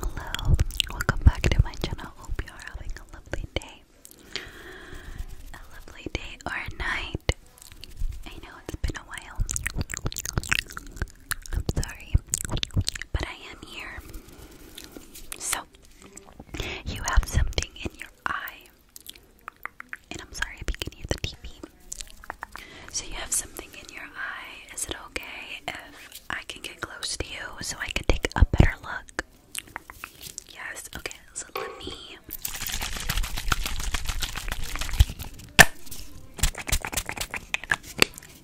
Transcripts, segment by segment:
Hello, welcome back to my channel. Hope you are having a lovely day. A lovely day or night. I know it's been a while. I'm sorry, but I am here. So, you have something in your eye. And I'm sorry if you can hear the TV. So you have something in your eye. Is it okay if I can get close to you so I can take a better look? Yes. Okay. So let me.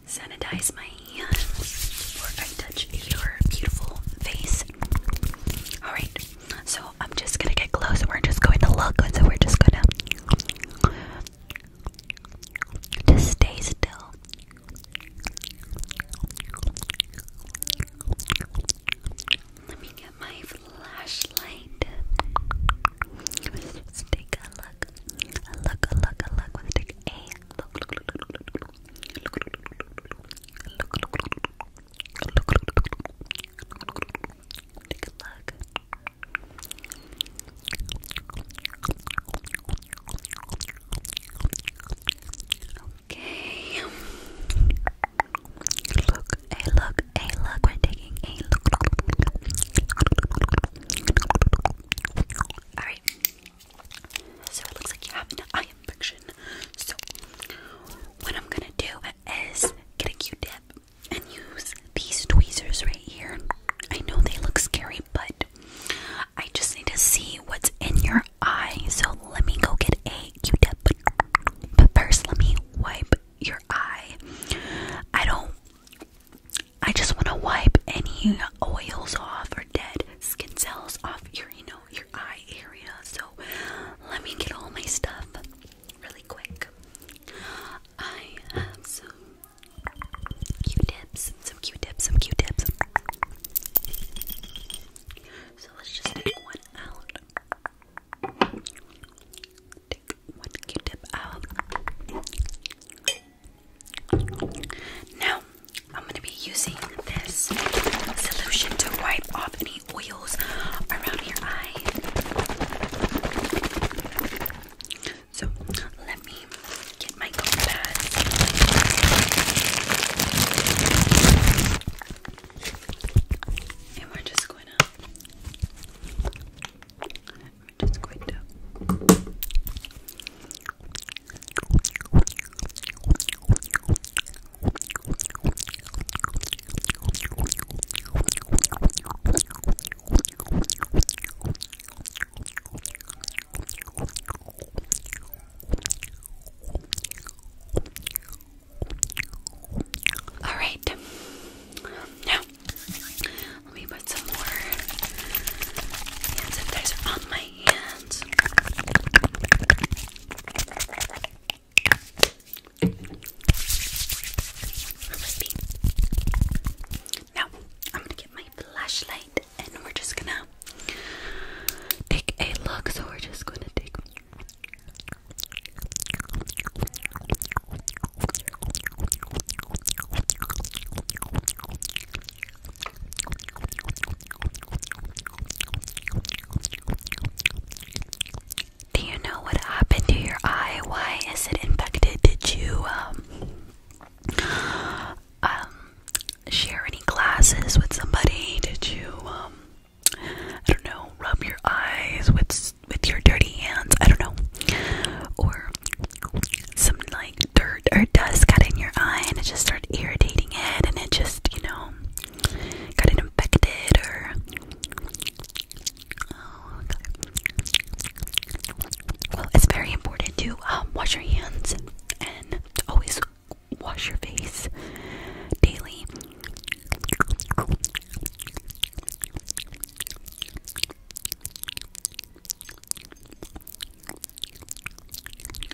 Sanitize my hands before I touch your beautiful face. Alright, so I'm just gonna get close and we're just going to look. So we're just gonna just stay still. Let me get my flashlight. Let's take a look. A look, a look, a look. Let's take a look. Look, look, look, look, look. Look, look, look. Look, look, look. a look. Okay. Look, hey, look, hey, look. We're taking a look. Alright. So it looks like you have an eye infection. So, what I'm gonna do is get a Q tip and use these tweezers right here. I know they look scary, but I just need to see what's in your eye. So let me go get a Q-tip. But first, let me wipe your eye. I don't. I just want to wipe any oils off or dead skin cells off your, you know, your eye area. So let me get all my stuff really quick. I have some Q-tips, some Q-tips, some Q-tips. So let's just take one out. Take one Q-tip out. Now I'm gonna be using this solution to wipe off any oil so let me get my comb And we're just going to we're just going to all right. Now, let me put some more hand sanitizer on my hands. Now, I'm gonna get my flashlight and we're just gonna take a look. So, we're just gonna take. Do you know what happened to your eye? Why is it infected? Did you um um share any glasses with somebody? Did you um I don't know, rub your eyes with with your dirty hands? I don't know. Or some like dirt or dust got in your eye and it just started irritating it and it just, you know, got infected or. Oh, well, it's very important to um, wash your hands and always wash your face daily.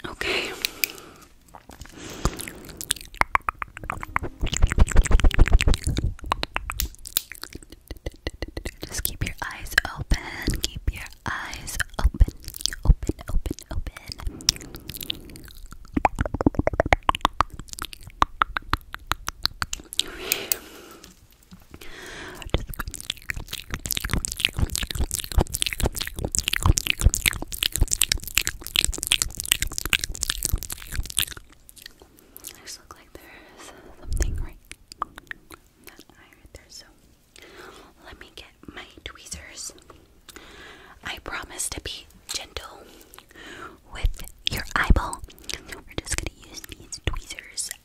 Okay. Just keep your eyes open. Keep your eyes open. Open, open, open. I just like there's something right that eye right there, so let me get my tweezers. I promise to be gentle with your eyeball. We're just gonna use these tweezers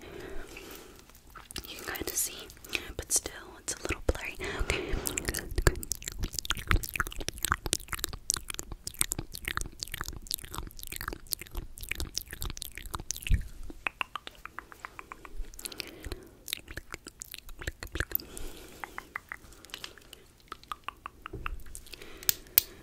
You can kind of see, but still, it's a little blurry. Okay.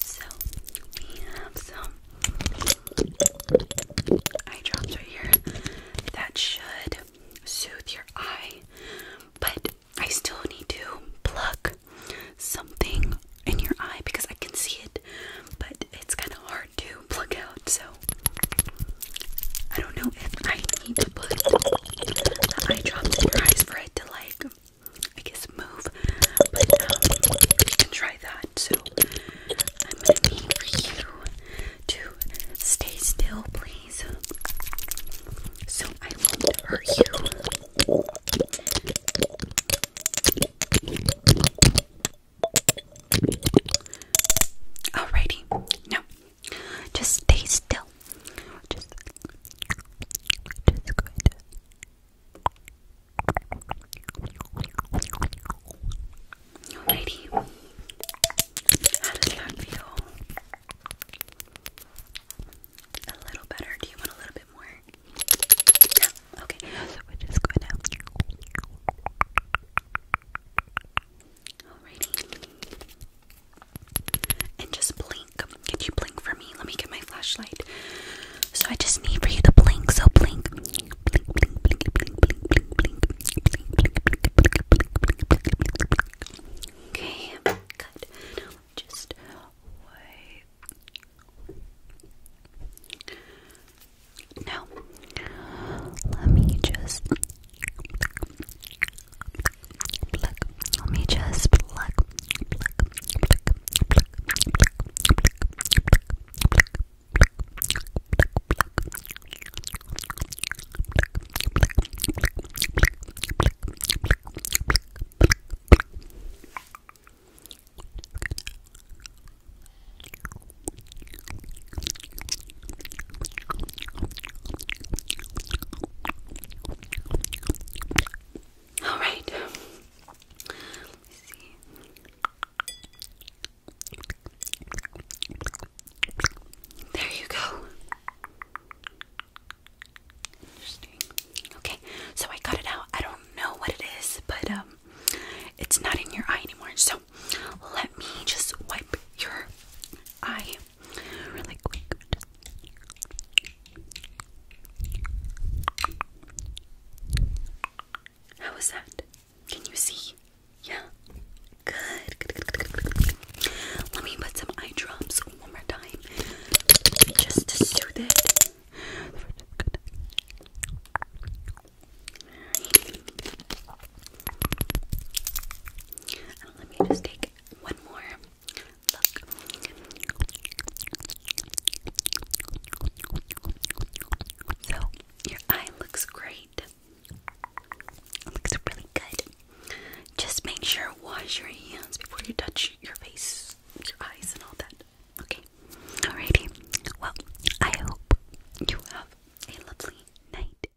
So we have some eye drops right here that should soothe your eye, but I still need to pluck something in your eye because I can see it, but it's kind of hard to pluck out. So I don't know if I need to put the eye drops in your eyes for it to like I guess move, but um, you can try that. So I'm going for you to stay still, please, so I won't hurt you. Alrighty, now just stay still. Just, just going Alrighty. How does that feel? A little better. Do you want a little bit more? No? Okay. So we're just going to. And just blink. Can you blink for me? Let me get my flashlight. So I just need for you to blink. So blink. Okay, good. just wait. Now, let me just pluck. Let me just pluck, pluck, pluck, pluck, pluck, pluck, pluck, pluck. All right. There you go. Okay, so I got it out. I don't know what it is, but um, it's not in your eye anymore. So let me just wipe your eye really quick. How was that? Can you see? Yeah. Good. Let me put some eye drops one more time, just to soothe it. let me just take one more So, your eye looks great. looks really good. Just make sure wash your hands before you touch your face, your eyes, and all that. Okay. Alrighty. Well, I hope you have a lovely night.